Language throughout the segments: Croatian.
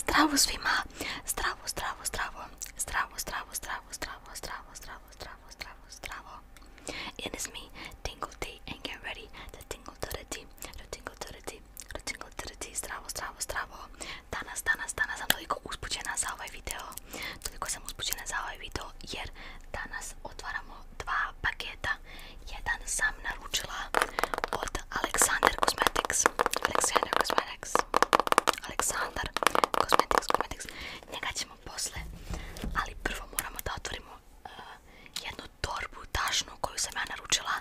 Zdravo svima, zdravo, zdravo, zdravo, zdravo, zdravo, zdravo, zdravo, zdravo, zdravo, zdravo, zdravo, zdravo. It is me, Tingle Tea, and get ready to tingle to the tea, to tingle to the tea, to tingle to the zdravo, zdravo, zdravo. Danas, danas, danas sam toliko uspućena za ovaj video, toliko sam uspućena za ovaj video jer danas otvaramo dva paketa. Jedan sam naručila od Alexander Cosmetics, Aleksandar Cosmetics Aleksandar Cosmetics, ćemo posle Ali prvo moramo da otvorimo e, Jednu torbu tašnu Koju sam ja naručila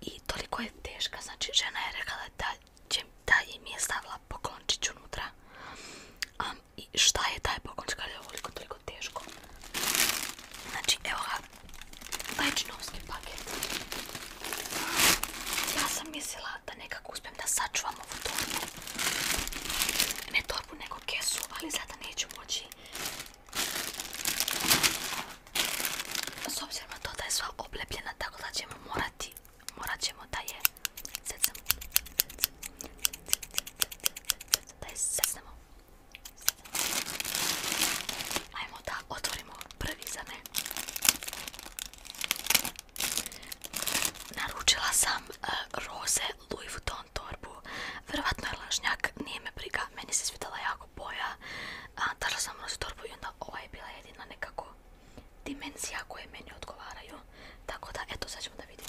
I toliko je teška Znači žena je rekla da, će, da im je stavila poklončiću unutra I šta je taj poklončić Kada je toliko teško Znači evo ga Lečnovski paket. Ja sam mislila da nekako uspijem da sačuvam ovu torbu. Ne torbu, nego kesu, ali sada neću moći. S obzirom na to da je sva oblepljena, tako da ćemo morati, morat ćemo da je Ajmo da otvorimo prvi za mene Naručila sam e, Rose Louis Vuitton torbu. Vjerovatno je lažnjak, nije me briga. Meni se svidala jako boja. Dala sam na torbu i onda ova je bila jedina nekako dimenzija koje meni odgovaraju. Tako da, eto, sad ćemo da vidimo.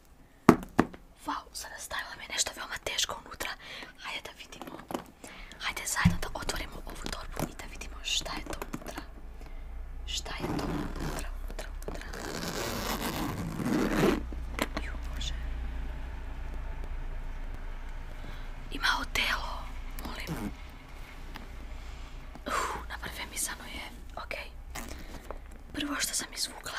Vau, sada mi nešto veoma teško unutra. Hajde da vidimo. Hajde zajedno da otvorimo ovu torbu i da vidimo šta je to unutra. Šta je to unutra, unutra, unutra. Ju, Bože. Ima odelo, molim. naprve mi je, ok. Prvo što sam izvukla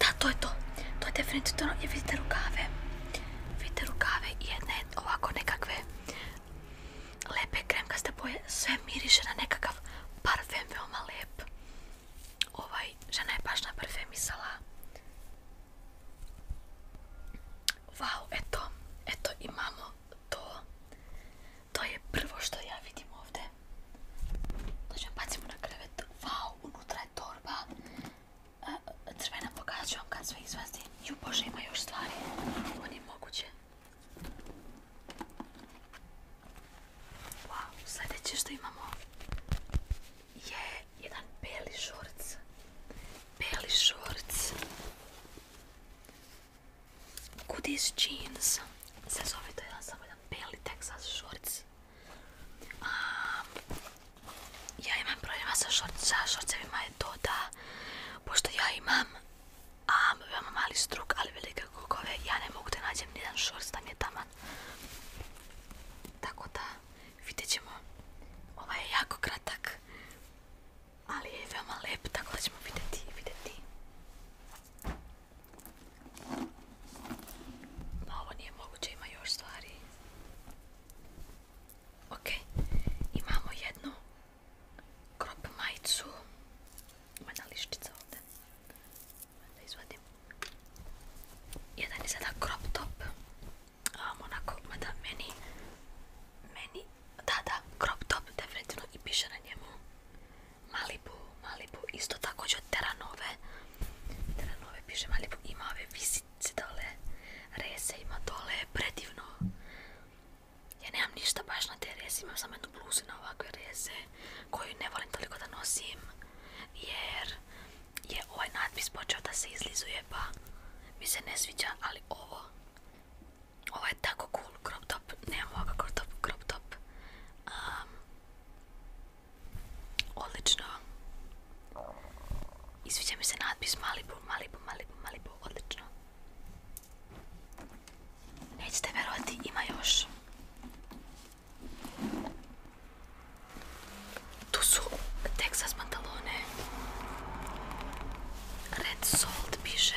Да, тоа е то, Тоа е дефинитивно. Ја видите рукаве. Видите рукаве и една е овако некакве лепе кремка кремкасте боје. Све мирише на некакав парфем веома леп. Овај жена е баш на сала. Вау, ето. Ето имамо тоа. To je prvo što ja vidim ovdje. ćemo znači, bacimo na krevet. Wow, unutra je torba. E, crvena pokazat ću vam kad sve Ju bože, ima još stvari. Oni moguće. Wow, sljedeće što imamo je jedan beli šorc. Beli šorc. Kudis jeans se zove to jedan samo jedan beli Texas shorts. ja imam problema sa, šort, sa šorcevima je to da, pošto ja imam um, veoma mali struk, ali velike kukove, ja ne mogu da nađem nijedan šorc da mi je taman. Tako da, vidjet ćemo. Ovaj je jako kratak, ali je veoma lep, tako da ćemo vidjeti, vidjeti. Ma ovo nije moguće, ima još stvari. Ok, imamo jednu crop majicu. Ima na liščica ovdje. Da izvadim. Jedan je sada crop top. onako, mada meni, meni, da, da, crop top definitivno i piše na njemu Malibu, Malibu, isto također od Teranove. Teranove piše Malibu, ima ove visice dole, rese ima dole, predivno. Ja nemam ništa baš na te rese, imam samo jednu bluzu na ovakve rese, koju ne volim toliko da nosim, jer je ovaj natpis počeo da se izlizuje, pa mi se ne sviđa, ali ovo, ovo je tako cool crop top, nemam ovoga crop top, crop top. Odlično. I mi se natpis mali Malibu, Malibu, Malibu. Odlično. Nećete verovati, ima još. Tu su Texas pantalone. Red Salt piše.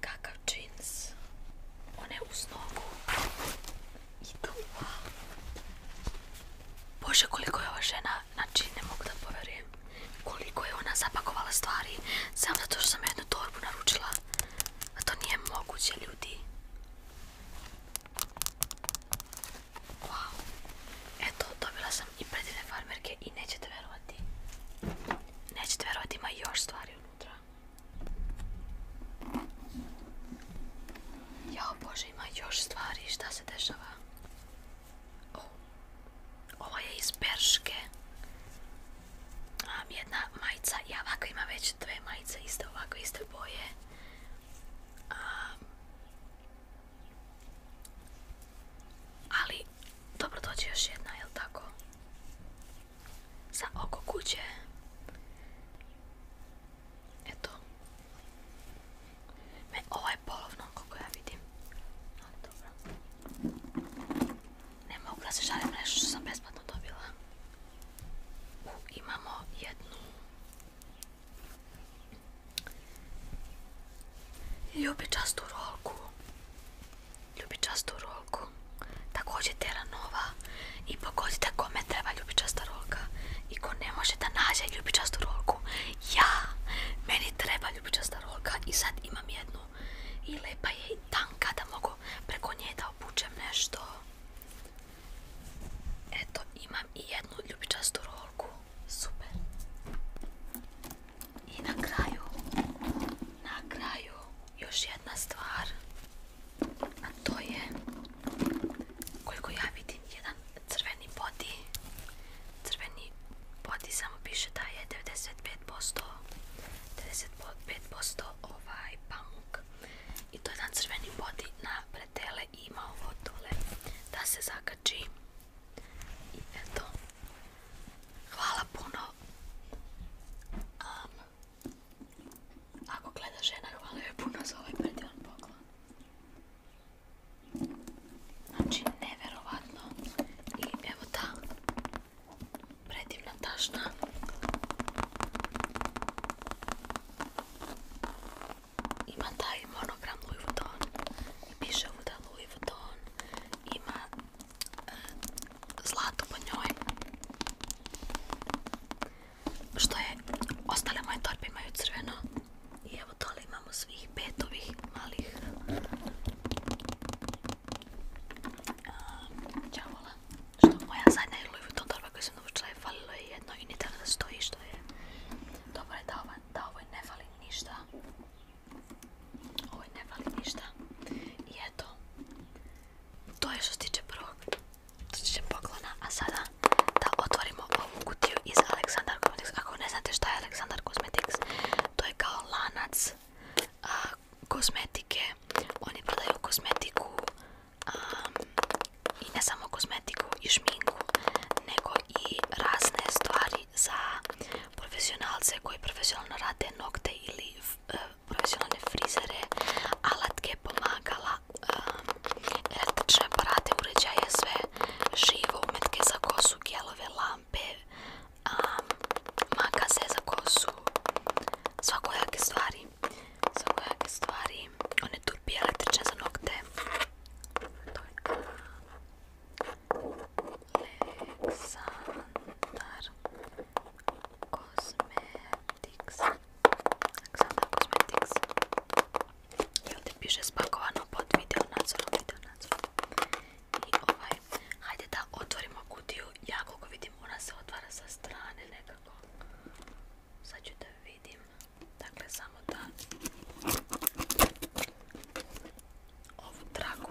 Kakav džins. One je uz nogu. Bože koliko je ova žena. Znači ne mogu da poverujem. Koliko je ona zapakovala stvari. Samo zato što sam jednu torbu naručila. A to nije moguće ljudi. Wow. Eto, dobila sam i predivne farmerke i nećete verovati. Nećete verovati, ima još stvari unutra. Jo, bože, ima još stvari, šta se dešava? O, oh. ovo je iz Berške. Um, jedna majica, ja ovako imam već dve majice, iste ovako, iste boje. Um, ali, dobro dođe još jedna, jel tako? za oko kuće. Eto. Me, ovo je polovno, kako ja vidim. Ali dobro. Ne mogu da se žalim nešto sam besplatno dobila. imamo jednu... Ljubičastu rolku ljubičastu rolku, također Tera Nova i pogodite kome treba ljubičasta rolka i ko ne može da nađe ljubičastu rolku, ja, meni treba ljubičasta rolka i sad imam jednu i lepa je i tanka da mogu preko nje da obučem nešto. Eto, imam i jednu ljubičastu rolku, super. I na kraju, na kraju još jedna stvar, a to je koliko ja vidim jedan crveni body, crveni body samo piše da je 95%, 95% ovaj pamuk i to je jedan crveni body na pretele ima ovo dole da se zakači i eto hvala puno ako gleda žena, hvala joj puno za ovaj predivan poklon. Znači, neverovatno. I evo ta predivna tašna. Ima taj monogram Louis Vuitton. I piše ovuda Louis Vuitton. Ima zlato po njoj što je ostale moje torbe imaju crveno i evo toli imamo svih pet ovih malih djavola um, što moja zadnja je Louis Vuitton torba koju sam dovučila je falilo je jedno i ni da stoji što je dobro je da ovoj, da ovoj ne fali ništa ovoj ne fali ništa i eto to je što se tiče prvog što tiče poklona, a sada da otvorimo ovu kutiju iz Aleksandar Cosmetics. Ako ne znate šta je Aleksandar Cosmetics, to je kao lanac a, kozmetike. Oni prodaju kozmetiku i ne samo kozmetiku i šminku, nego i razne stvari za profesionalce koji profesionalno rade nokte ili profesionalne frizere, alatke, pomagala, um, električne aparate, uređaje, sve živo, umetke za kosu, gelove, lampe, um, makaze za kosu, svakojake stvari, svakojake stvari, one turbi električne za nokte. Aleksandar Cosmetics Xana Cosmetics i ovdje piše spakovano pod video nadzorom, video nadzorom i ovaj, hajde da otvorimo kutiju, ja koliko vidim ona se otvara sa strane nekako sad ću da vidim dakle samo da ovu traku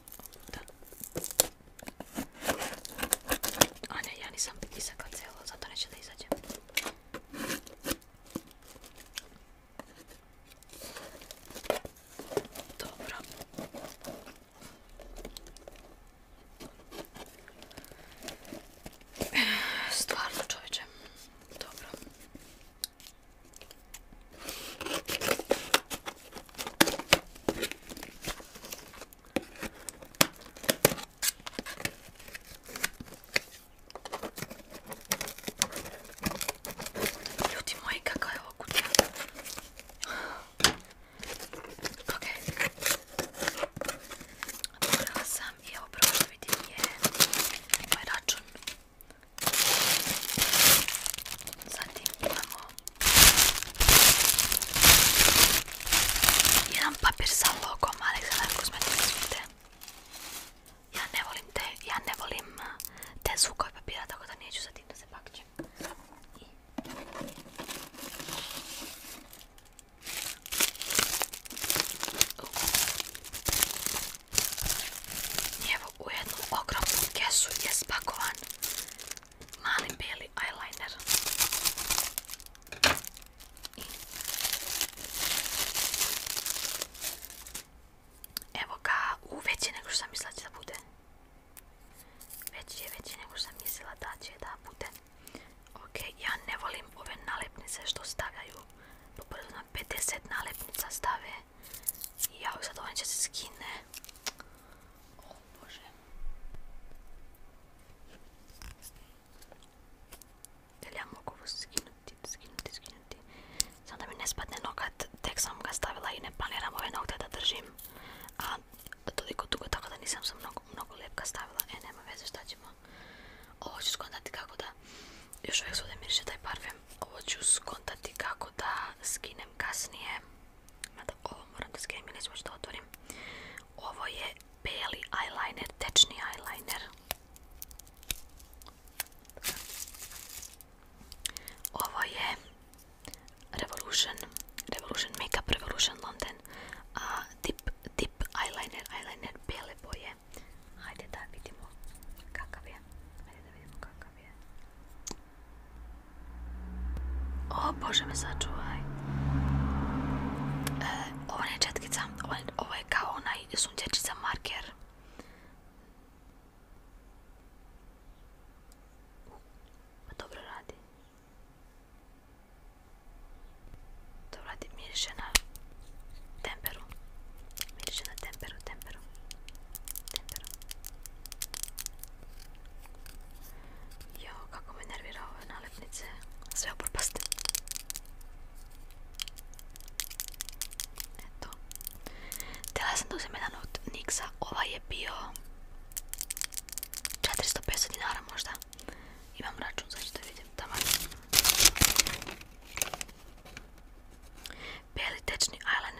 A ne, ja nisam biti isakla cijelo, zato neće da izađe. Dobro. Stvarno čovječe. Dobro. Ljudi moji, kako je kutija? Ok. Morala sam i vidim je moj račun. Zatim imamo Ihan papirsalloa kommaaliksella kosmetiikassa yhteen. Ja ne volim te, ja ne volim te zvukove papira, tako da neću sad tim da se bakćem. I... Evo u jednu ogromnu kesu je spakovan mali bijeli eyeliner. evo ga, u veći nego sam mislila će da bude. Veći je veći nego sam mislila da će da bude. Ok, ja ne volim ove nalepnice što stavljaju. Poprvo na 50 nalepnica stave Jao, sad on ovaj se skine. O Bože. Jel ja mogu ovo skinuti, skinuti, skinuti. Samo da mi ne spadne nokat, tek sam ga stavila i ne planiram ove nokte da držim. A toliko dugo, tako da nisam sam mnogo, mnogo stavila. E, nema veze šta ćemo. Ovo ću skontati kako da... Još uvijek svode miriše taj parfem. Ovo ću skontati kako da skinem kasnije. Mada ovo moram da skemiram nećemo što otvorim. Ovo je beli eyeliner, tečni eyeliner. Ovo je Revolution, Revolution Makeup, Revolution London. A ah, tip, tip eyeliner, eyeliner bele boje. Hajde da vidimo kakav je. Hajde da vidimo kakav je. Eh, o Bože, mi začúvaj. E, ovo je četkica, ovo, ovo je kao onaj sunčečica marker. Pa dobro radi. To radi miriše na temperu. Miriše na temperu, temperu. Temperu. Jo, kako me nervira ove nalepnice. Sve oporpaste. Eto. Tela sam tu uzem jedan od Nixa. ova je bio 400-500 dinara možda. Imam račun, za što vidim. Tamo. Beli tečni eyeliner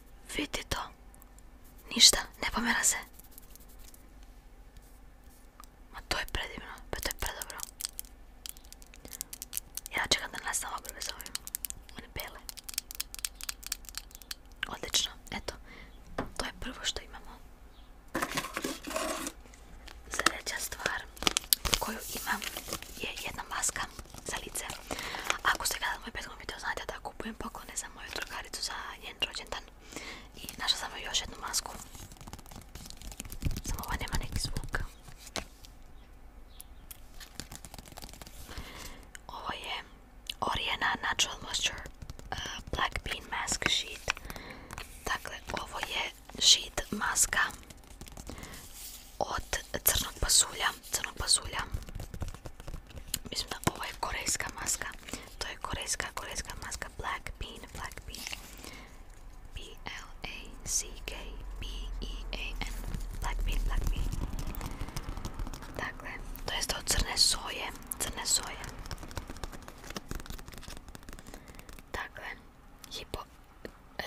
Vidi to. Ništa, ne pomera se. Ma to je predivno, pa to je predobro. Ja čekam da nastavim obrve s ovim. One bele. Odlično, eto. To je prvo što imamo. Sljedeća stvar koju imam je jedna maska. salice. Ako ste gledali moj prethodni video, znate da kupujem poklone za moju drugaricu za njen rođendan. I našla sam joj još jednu masku. Samo ova nema neki zvuk. Ovo je Oriana Natural Moisture uh, Black Bean Mask Sheet. Dakle, ovo je sheet maska od crnog pasulja, crnog pasulja. Mislim da ovo je korejska maska. To je korejska, korejska maska Black Bean, Black Bean. B L A C K B E A N. Black Bean, Black Dakle, to je od crne soje, crne soje. Dakle, hipo, e,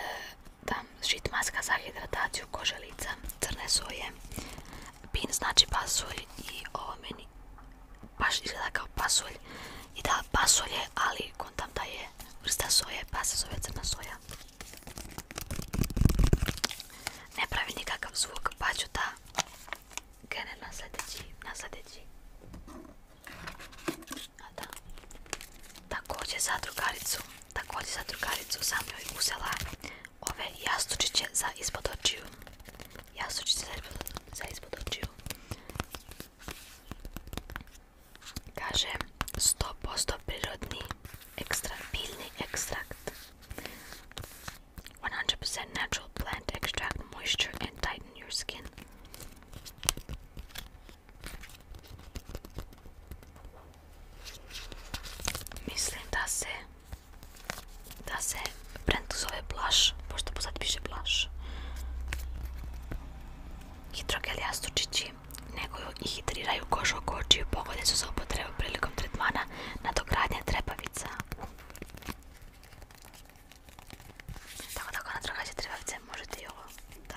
tam šit maska za hidrataciju kože lica, crne soje, pin znači pasulj i ovo meni baš izgleda kao pasulj i da pasulje, ali kontam da je vrsta soje pa se crna soja. Ne pravi nikakav zvuk pa ću da krenem na sljedeći, na za drugaricu Također za drugaricu sam joj uzela ove jastučiće za ispod očiju. Jastučiće za ispod očiju. Kaže 100% prirodni ekstra, biljni ekstrakt. 100% natural plant extract moisture and tighten your skin. Mislim da se da se brand zove Blush, pošto sad piše Blush. Hidrogelija sučići neguju i hidriraju koš oko očiju, pogodne su za upotrebu prilikom tretmana nadogradnja trepavica. Tako tako na drugačije trepavice možete i ovo da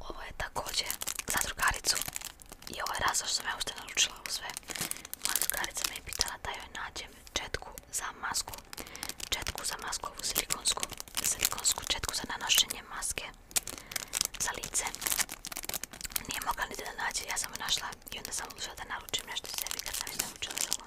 Ovo je također za drugaricu i ovo je razlog što sam ja ušte naručila sve. Moja drugarica me je pitala da joj nađem četku za masku, četku za masku, ovu silikonsku, silikonsku četku za nanošenje maske za lice. Nije mogla niti da nađe, ja sam našla i onda sam odlučila da naručim nešto sam naručila za ovo.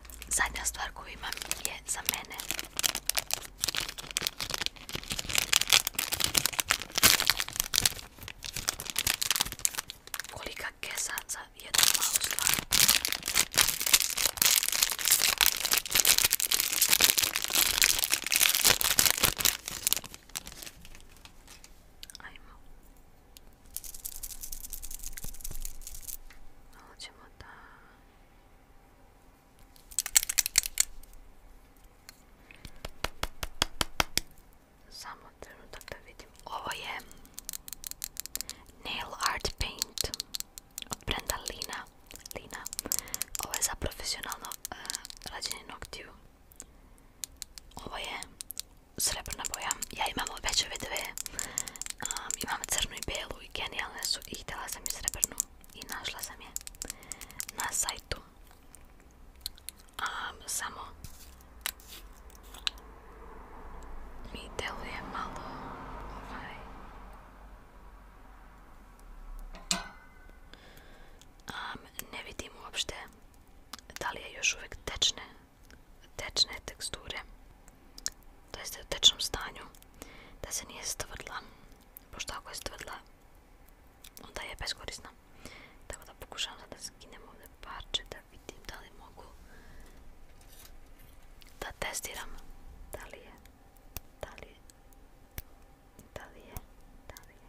zadnja stvar koju imam za mene. Kolika kesa za jednu malu samo trenutak da vidim. Ovo je Nail Art Paint od brenda Lina. Lina. Ovo je za profesionalno uh, rađenje noktiju. Ovo je srebrna boja. Ja imam veće dve, Um, imam crnu i belu genijalne su i htjela sam i srebrnu i našla sam je na sajtu samo mi deluje malo ovaj. ne vidim uopšte da li je još uvijek tečne tečne teksture to ste u tečnom stanju, da se nije stvrdla, pošto ako je stvrdla, onda je beskorisna. Tako da pokušavam da skinem ovdje parče, da vidim da li mogu da testiram da li je, da li je, da li je, da li je.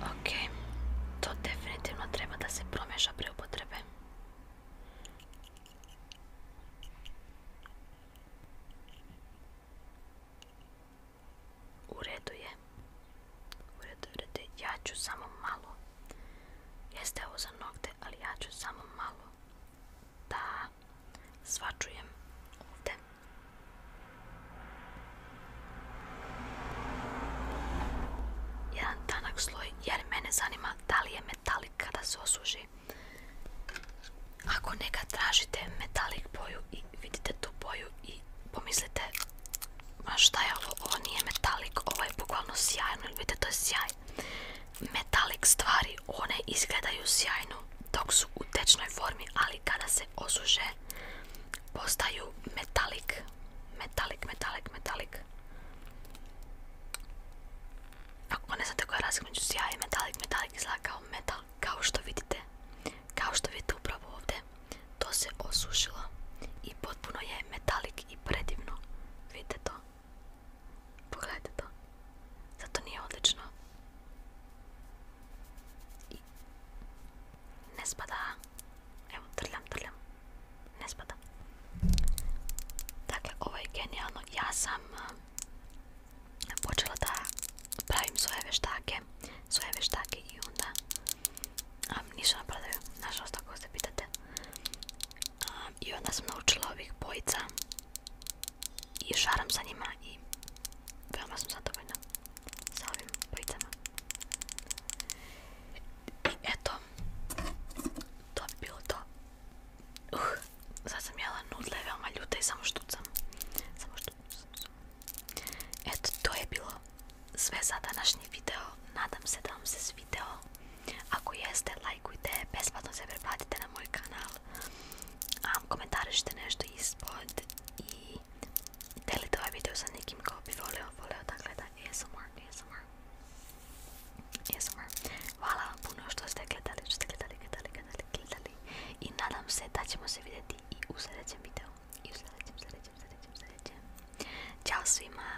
Ok, to definitivno treba da se promeša pre upotrebe. U je. Ja ću samo malo. Jeste ovo za nokte, ali ja ću samo malo da, Ta, zwaczyłem ovdje. Jedan tanak sloj, jer mene zanima da li je metalik kada se osuži. Ako neka tražite metalik boju i vidite tu boju i pomislite ma šta je ovo, nije metalik, ovo je bukvalno sjajno, vidite to je sjaj. Metalik stvari, one izgledaju sjajno dok su u tečnoj formi, ali kada se osuže postaju metalik. Metalik, metalik, metalik. Ako ne znate koja je razlika među i metalik, metalik izgleda kao metal, kao što vidite. Kao što vidite upravo ovdje, to se osušilo i potpuno je metalik i predivno. Vidite to? Pogledajte to. Zato nije odlično. I ne spada. Evo, trljam, trljam. Ne spada. Dakle, ovo je genijalno. Ja sam počela da pravim svoje veštake. Svoje veštake i onda um, nisu Nažalost, ako se pitate i onda sam naučila ovih bojica i šaram sa njima i veoma sam zadovoljna sa ovim bojicama i eto to bi bilo to uh, sad sam jela nudle veoma ljuta i samo samo štucam eto to je bilo sve za današnji video nadam se da vam se svideo Ако јесте, лајкујте, бесплатно се препратите на мој канал, коментариште нешто испод и делите ова видео со неким кој би волео, волео да гледа ASMR, ASMR, ASMR. Хвала вам пуно што сте гледали, што сте гледали, гледали, гледали, гледали. И надам се да ќемо се видети и у следеќем видео. И у следеќем, следеќем, следеќем, следеќем. Чао свима!